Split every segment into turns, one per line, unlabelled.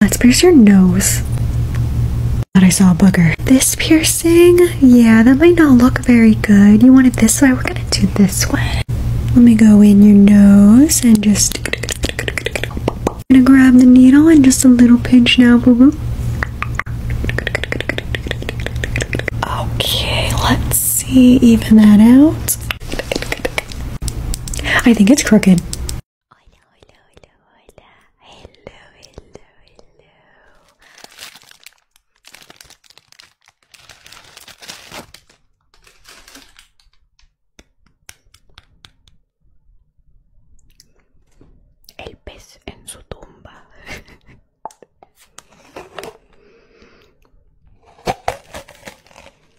Let's pierce your nose. Thought I saw a bugger. This piercing, yeah, that might not look very good. You want it this way? We're gonna do this way. Let me go in your nose and just. gonna grab the needle and just a little pinch now, boo boo. Okay, let's see, even that out. I think it's crooked. Hola, hola, hola, hola. Hello, hello, hello. El pez en su tumba.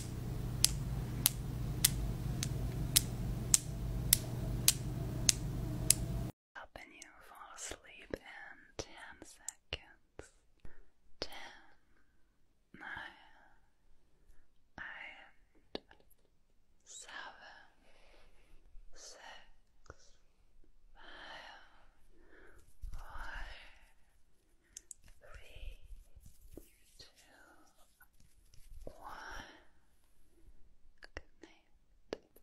Up and you fall asleep in ten seconds. Ten, nine, eight, seven, six, five, four, three, two, one. Good night. Good night.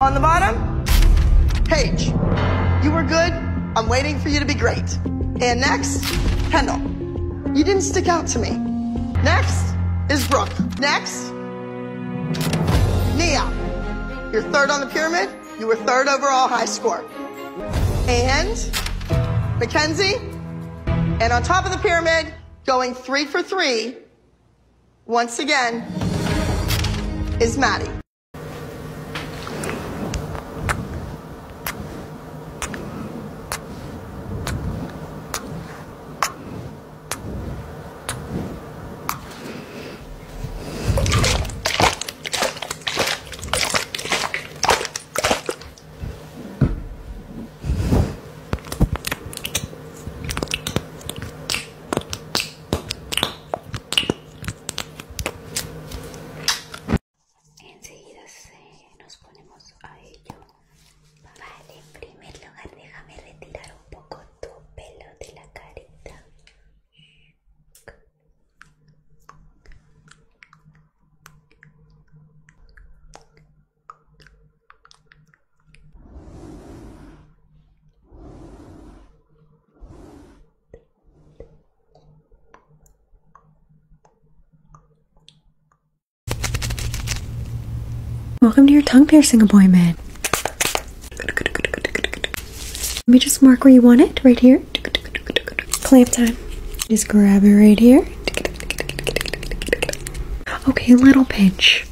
On the bottom, Paige. You were good. I'm waiting for you to be great. And next, Kendall. You didn't stick out to me. Next is Brooke. Next, Nia. You're third on the pyramid. You were third overall high score. And Mackenzie, and on top of the pyramid, going three for three, once again, is Maddie. Enseguida se nos ponemos a ello. Vale, en primer lugar déjame retirar un poco tu pelo de la carita. Welcome to your tongue piercing appointment. Let me just mark where you want it, right here. Clamp time. Just grab it right here. Okay, little pinch.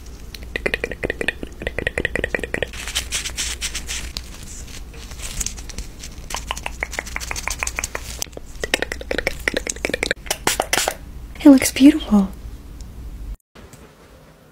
It looks beautiful.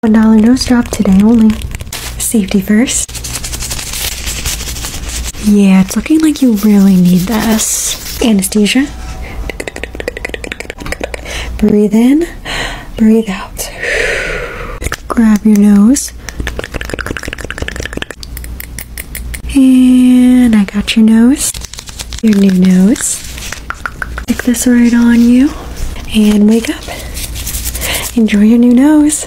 One dollar nose drop today only. Safety first. Yeah, it's looking like you really need this. Anesthesia. Breathe in, breathe out. Grab your nose. And I got your nose. Your new nose. Stick this right on you and wake up. Enjoy your new nose.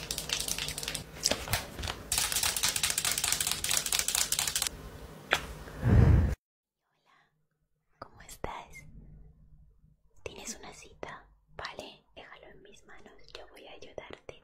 Hola, ¿cómo estás? Tienes una cita, vale, déjalo en mis manos, yo voy a ayudarte.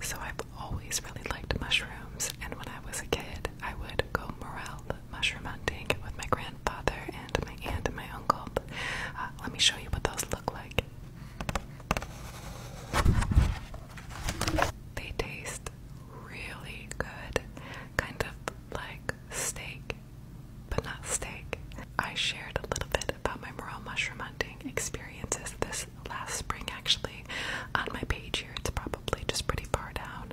So I've always really liked mushrooms, and when I was a kid, I would go morel mushroom hunting with my grandfather and my aunt and my uncle. Uh, let me show you what those look like. They taste really good, kind of like steak, but not steak. I shared a little bit about my morel mushroom hunting experiences this last spring, actually, on my page here. It's probably just pretty far down.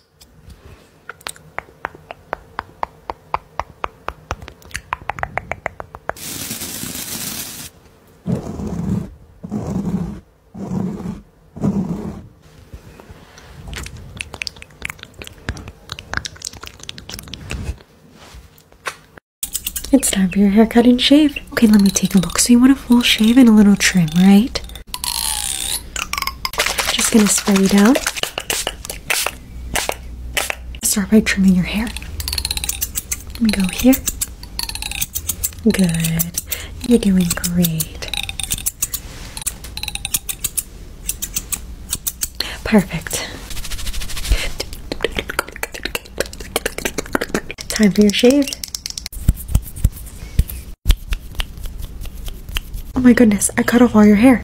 It's time for your haircut and shave. Okay, let me take a look. So you want a full shave and a little trim, right? Just gonna spray you down. Start by trimming your hair. Let me go here. Good. You're doing great. Perfect. Time for your shave. Oh my goodness, I cut off all your hair.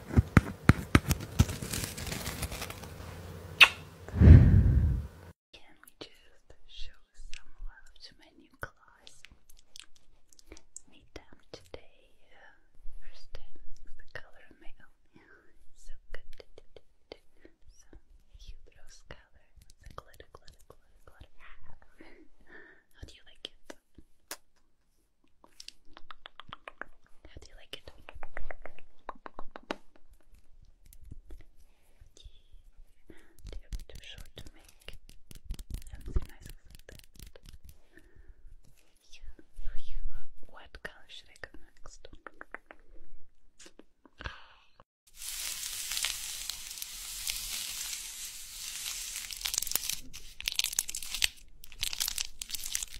Can we just show some love to my new class? Meet them today. First time the color of my So good. So cute rose color. Glitter, glitter, glitter, glitter. How do you like it? How do you like it? They're a bit too to make something nice like that. Yeah. What color should I go next?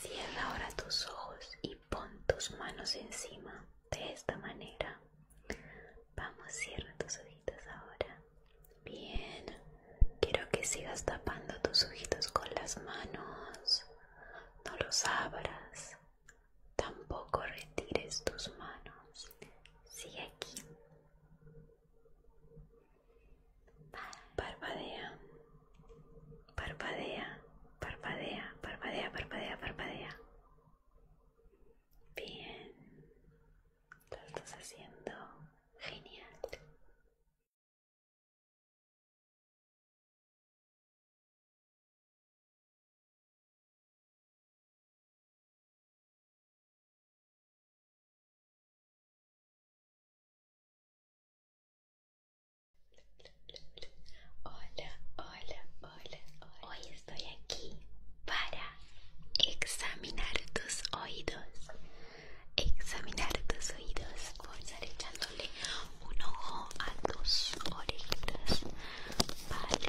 Cierra ahora tus ojos y pon tus manos encima de esta manera. Vamos, cierra tus ojitos ahora. Bien. Quiero que sigas tapando tus ojitos con las manos. No los abras. Tampoco retires tus manos. Sigue aquí. Parpadea. Parpadea. Parpadea. Parpadea. Parpadea. Parpadea. Bien. Lo estás haciendo genial. Hola, hola, hola, Hoy estoy aquí para examinar tus oídos. Examinar tus oídos. Voy a un ojo a tus Vale.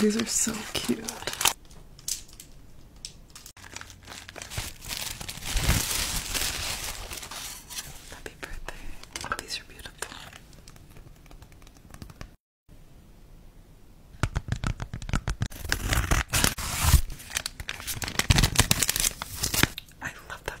These are so cute. Happy birthday. These are beautiful. I love them.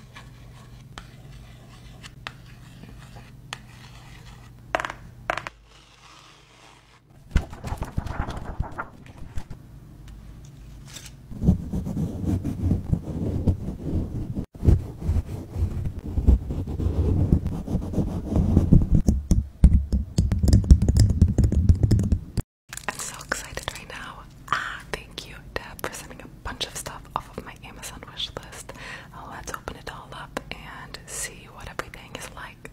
I'm so excited right now. Ah, thank you, Deb, for sending a bunch of stuff off of my Amazon wish list. Oh, let's open it all up and see what everything is like.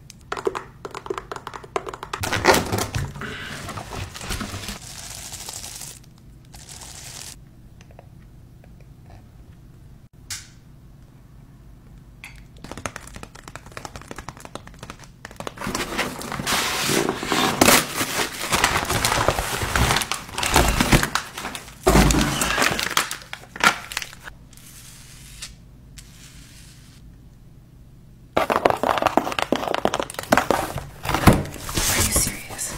Are you serious?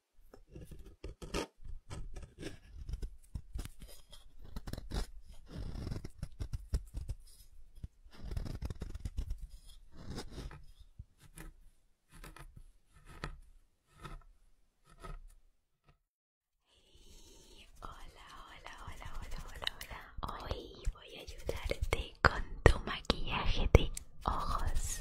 Hola, hola, hola, hola, hola, hola. Hoy voy a ayudarte con tu maquillaje de ojos.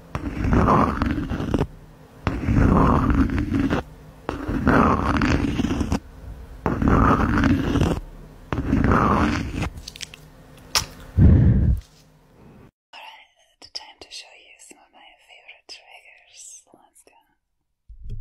Alright, it's time to show you some of my favorite triggers. Let's go.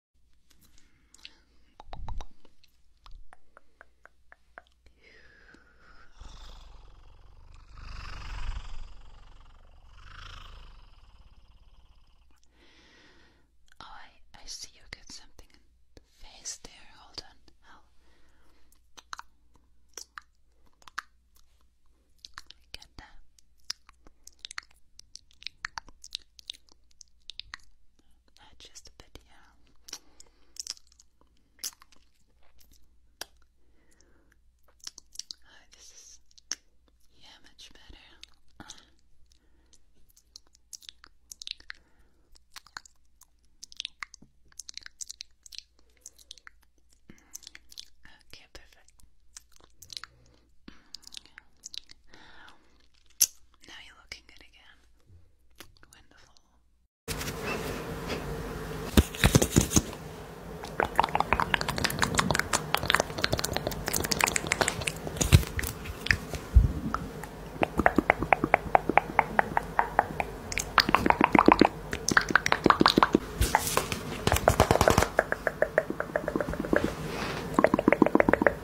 Oh, I, I see you got something in the face there. Hold on. I'll get that uh, just a bit, yeah. Oh, this is yeah, much better. Okay, perfect. Now you're looking good again. Wonderful.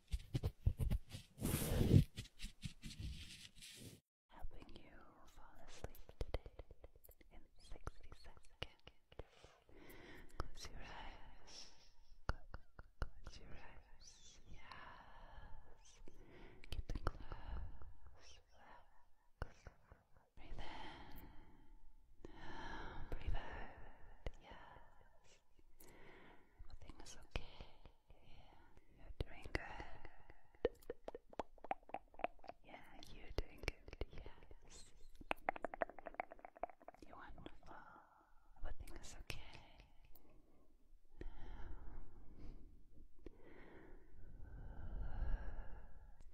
Helping you fall asleep in 60 seconds. Close your eyes. Close your eyes. Yes. Keep them closed. Breathe in. Breathe out. Yes. Everything is okay. You're doing good. Yeah, you're doing good. Yes. You're wonderful. Everything is okay.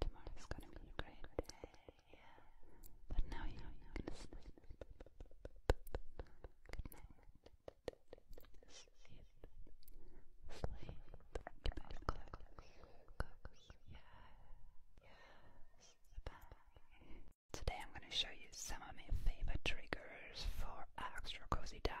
Tomorrow is gonna be a great day. But now you're gonna sleep. Good night. Today I'm going to show you some of my favorite triggers for extra cozy diets.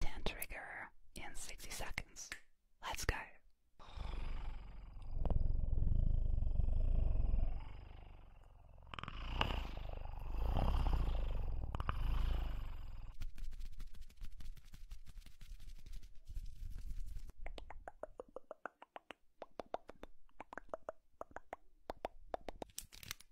10 trigger in 60 seconds. Let's go.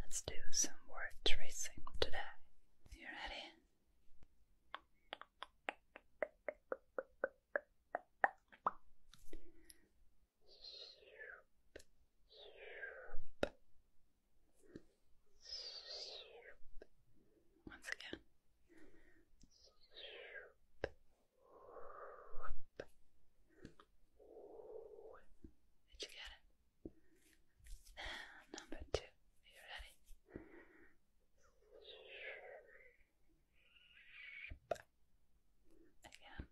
Let's do some word tracing today. You ready? Once again. Did you get it? Number two. Are you ready? Again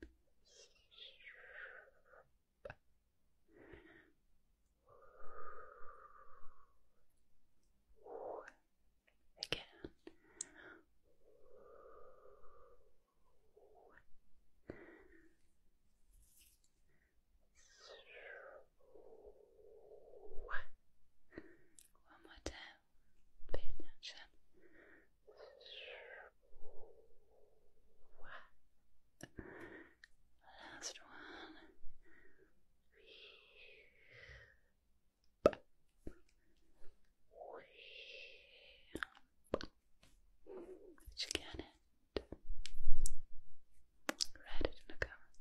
again. One more time. Last one. Did get it? Write it in the comments.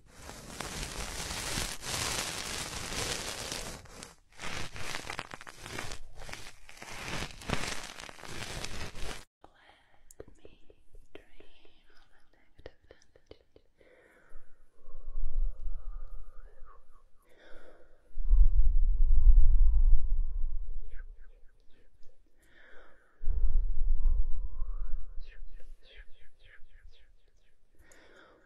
Let me drain all the negative energy. Let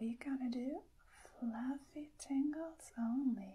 we're gonna do fluffy tingles only.